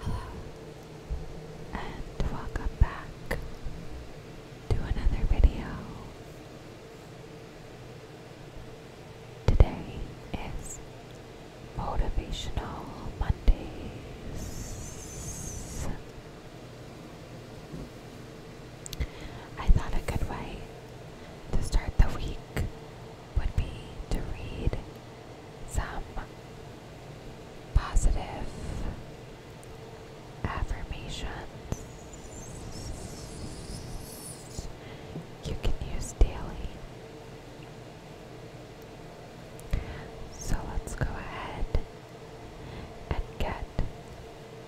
Hello, and welcome back to another video. Today is Motivational Mondays. I thought a good way to start the week would be to read some positive affirmations you can use daily. So let's go ahead and get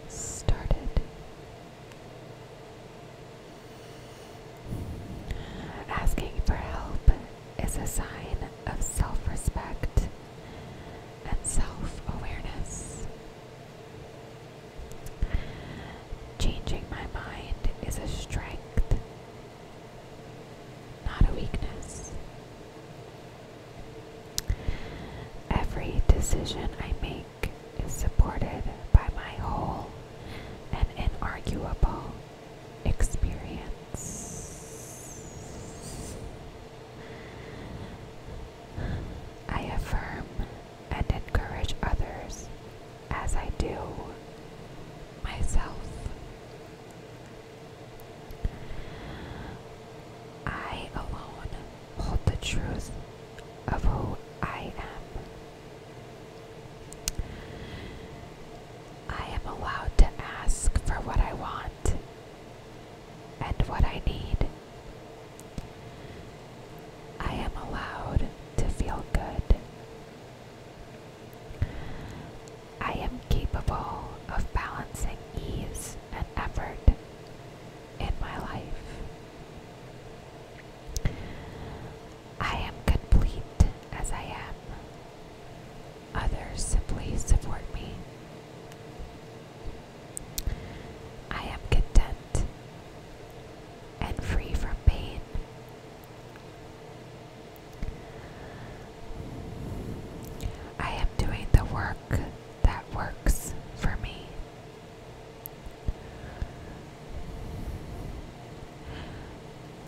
started. Asking for help is a sign of self respect and self awareness. Changing my mind is a strength, not a weakness. Every decision I make is supported by my whole and inarguable experience. I affirm and encourage others as I do myself. I alone hold the truth of who I am. I am allowed to ask for what I want and what I need. I am allowed to feel good. I am capable of balancing ease and effort in my life. I am complete as I am. Others simply support me. I am content and free from pain. I am doing the work that works for me.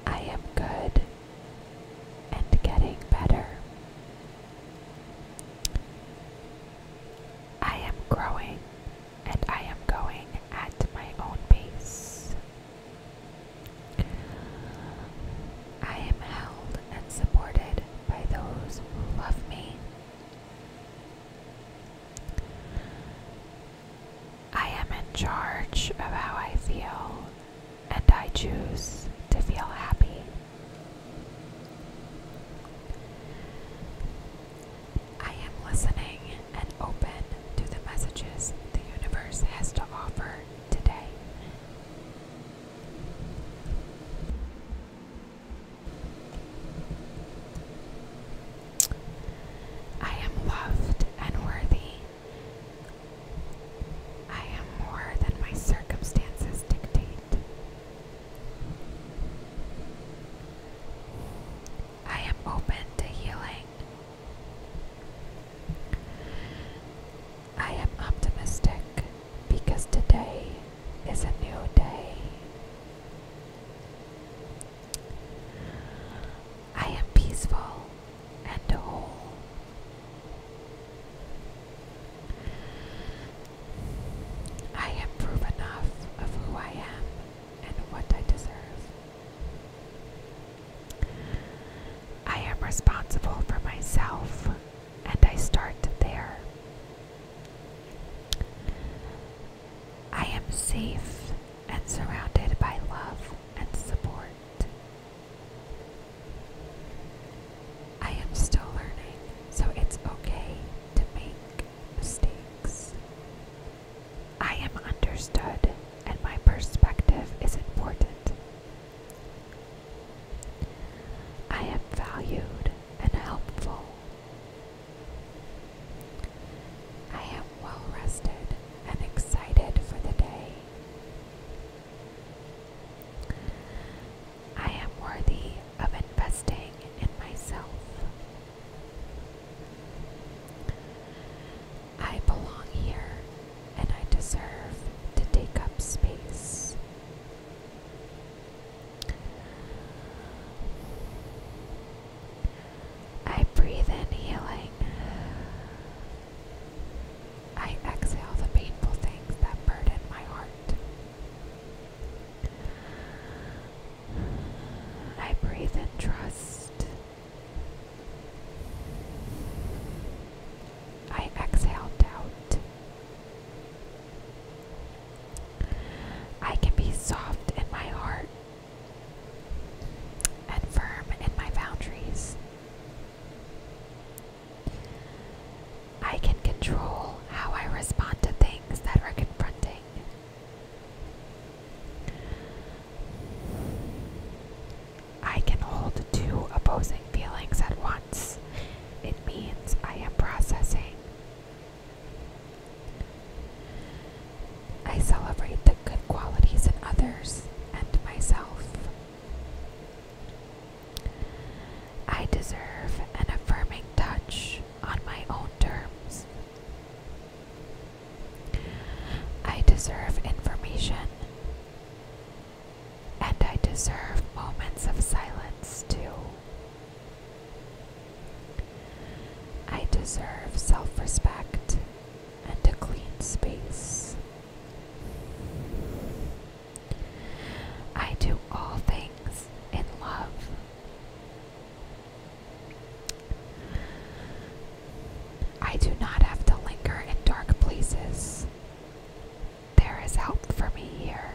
I am good and getting better. I am growing and I am going at my own pace. I am held and supported by those who love me. I am in charge of how I feel, and I choose to feel happy. I am listening and open to the messages the universe has to offer today. I am loved and worthy. I am more than my circumstances dictate. I am open to healing. I am optimistic because today is a new day. I am peaceful and whole. I am proof enough of who I am and what I deserve. I am responsible for myself, and I start there. I am safe and surrounded by love and support. I am still learning, so it's okay to make mistakes. I am understood, and my perspective is important. I am valued and helpful. I am well rested and excited for the day. I am worthy of investing in myself. I belong here and I deserve to take up space. I breathe in healing. I exhale the painful things that burden my heart. I breathe in trust. I exhale doubt. I can be soft in my heart and firm in my boundaries. I can control how I respond to things that are confronting. I can hold two opposing feelings at once. It means I am processing I celebrate the good qualities in others and myself. I deserve an affirming touch on my own terms. I deserve information. And I deserve moments of silence too. I deserve self respect and a clean space. I do all things in love. I do not have to linger in dark places. There is help for me here.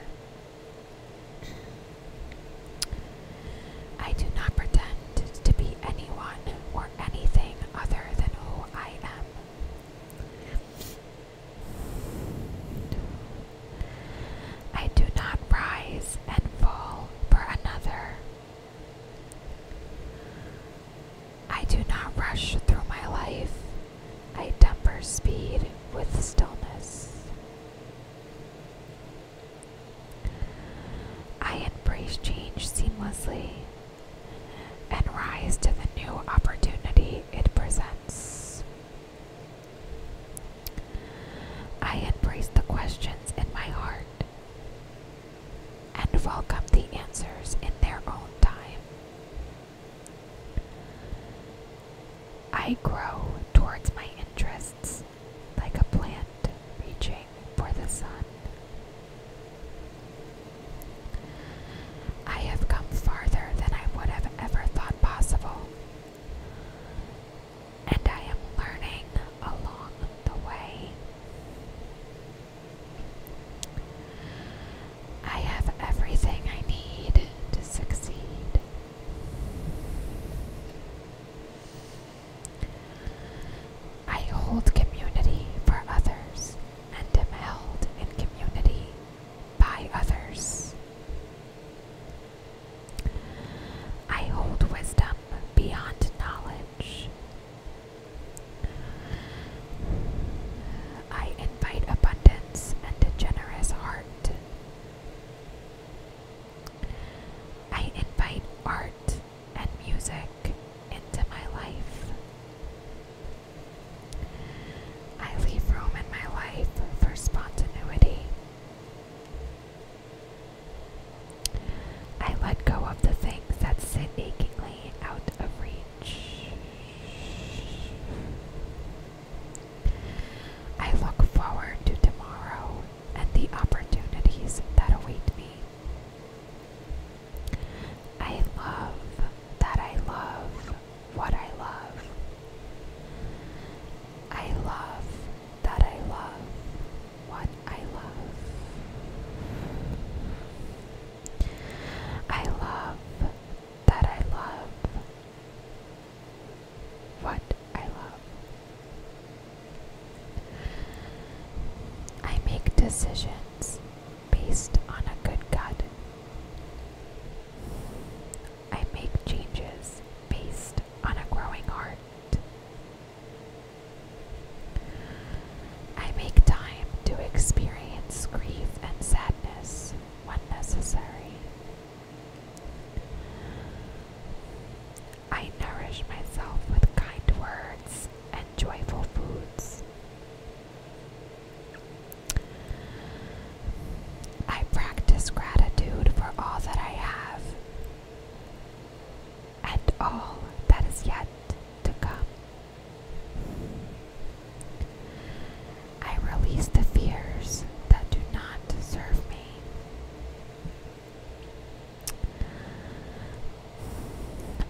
I do not pretend to be anyone or anything other than who I am. I do not rise and fall for another. I do not rush through my life. I temper speed with stillness. I embrace change seamlessly and rise to the new opportunity it presents. I embrace the questions in my heart and welcome the answers in their own time. I grow towards my interests like a plant reaching for the sun. I have come farther than I would have ever thought possible, and I am learning along the way. I have everything I need to succeed. I hold community for others and am held in community by others. I hold wisdom beyond knowledge. I invite abundance and a generous heart. I invite art and music into my life. I leave room in my life for spontaneity. I let go of the things that sit achingly out of reach. I look forward to tomorrow and the opportunities that await me. I love that I love what I love. I love that I love what I love. I love that I love what I love. I make decisions based on a good gut. I make changes based on a growing heart. I make time to experience grief and sadness when necessary. I nourish myself with kind words and joyful foods. I practice gratitude for all that I have and all that is yet to come. I release the fears that do not serve me.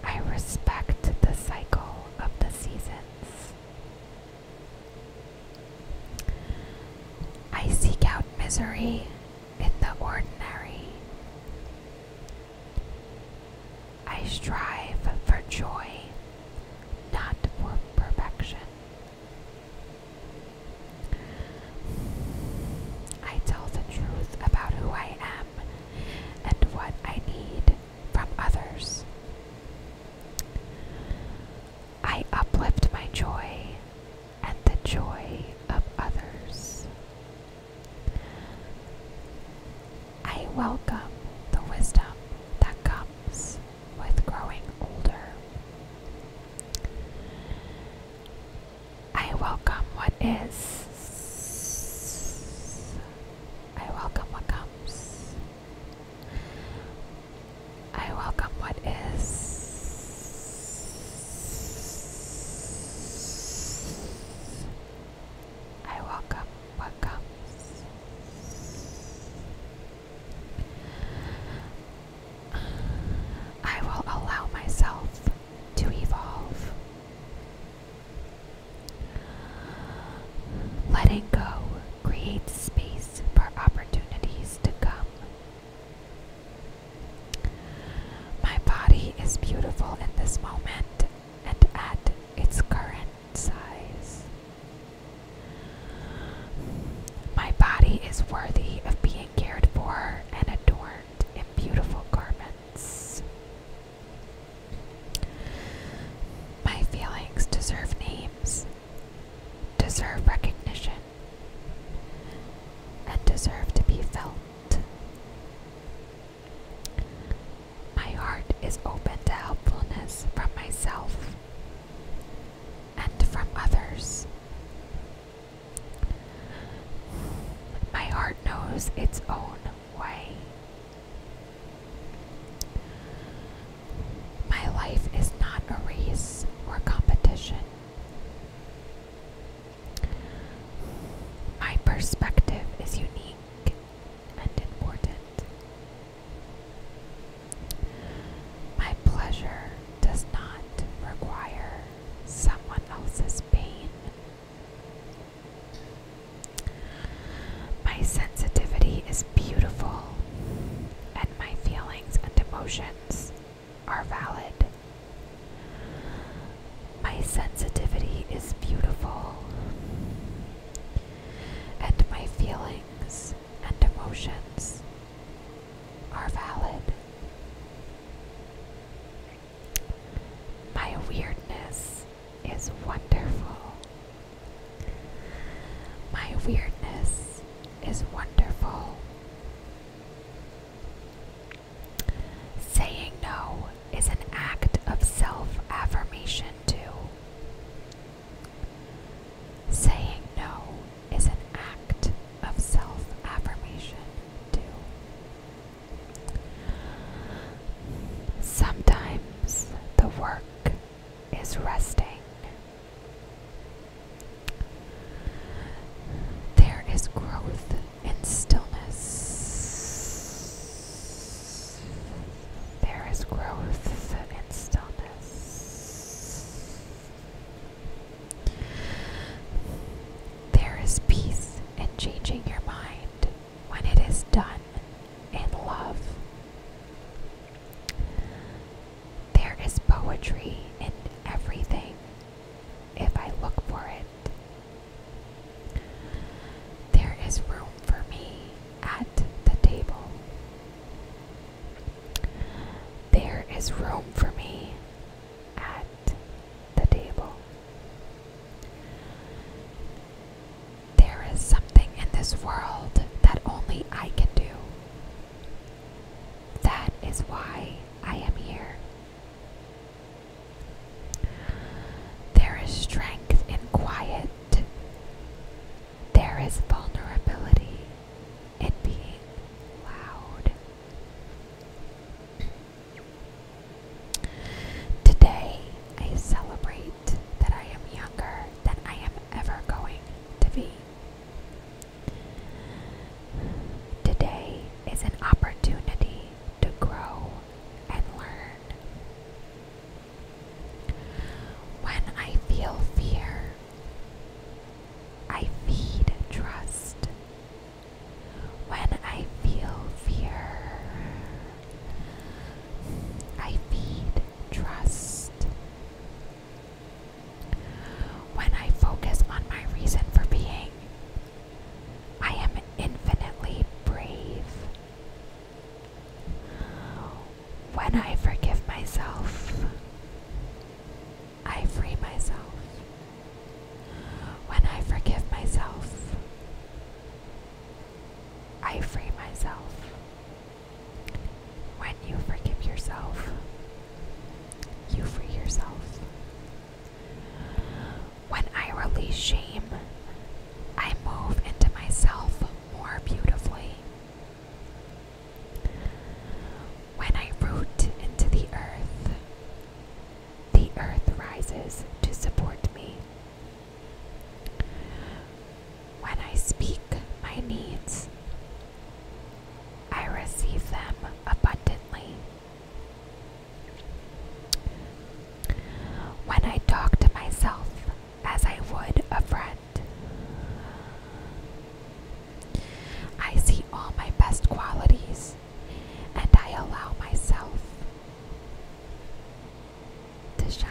I respect the cycle of the seasons. I seek out misery in the ordinary. I strive for joy, not for perfection. I tell the truth about who I am and what I need from others. I uplift my joy and the joy of others. I welcome the wisdom that comes with growing older. I welcome what is. I welcome what comes. I welcome what is. I welcome what comes. I will allow myself to evolve. Letting go creates space for opportunities to come. My body is beautiful in this moment and at its current size. My body is worthy of being cared for and adorned in beautiful garments. My feelings deserve names, deserve recognition, and deserve to be felt. My heart is open to helpfulness from myself and from others. My heart knows its own way. My life is not a race or competition. My perspective is unique and important. My pleasure does not require someone else's pain. My sensitivity is beautiful, and my feelings and emotions are valid. My sensitivity is beautiful, and my feelings and emotions are valid. My weirdness is wonderful. My weirdness is wonderful. Saying no is an act of self affirmation, too. Saying no is an act of self affirmation, too. Sometimes the work is resting. There is growth in stillness. There is growth in stillness. There is peace in changing your mind when it is done in love. There is poetry in everything if I look for it there is room for me at the table. There is room for me at the table. There is something in this world that only I can do. That is why I am here. There is strength in quiet. There is vulnerability in being loud. Today, I celebrate that I am younger than I am ever going to be. Today is an opportunity to grow and learn. When I feel fear, I feed trust. When I feel fear, I feed trust. When I focus on my reason for being, I am infinitely brave. When I forgive myself, I free myself. When I forgive myself, I free myself. When you forgive yourself, you free yourself. When I release shame, I move into myself more beautifully. When I root into the earth, the earth rises to support me. When I speak my needs, I receive them abundantly. When I talk to myself as I would a friend, I see all my best qualities and I allow myself to shine.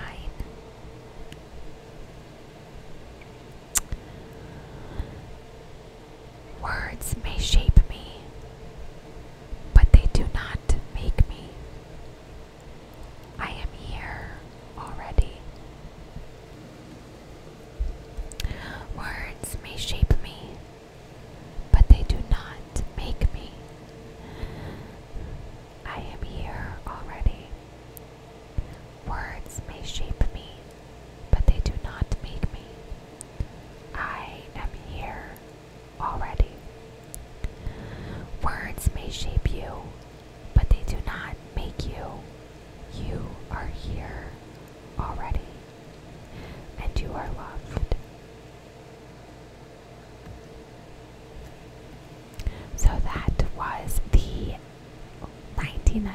Words may shape me, but they do not make me. I am here already. Words may shape me, but they do not make me. I am here already. Words may shape me, but they do not make me. I am here already. Words may shape you, but they do not make you. You are here already, and you are loved. So that was the 99th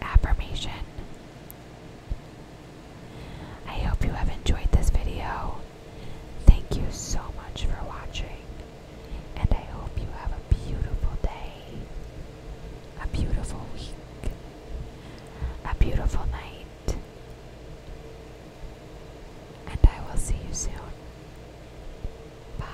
affirmation. I hope you have enjoyed this video. Thank you so much for watching, and I hope you have a beautiful day, a beautiful week, a beautiful night, and I will see you soon. Bye.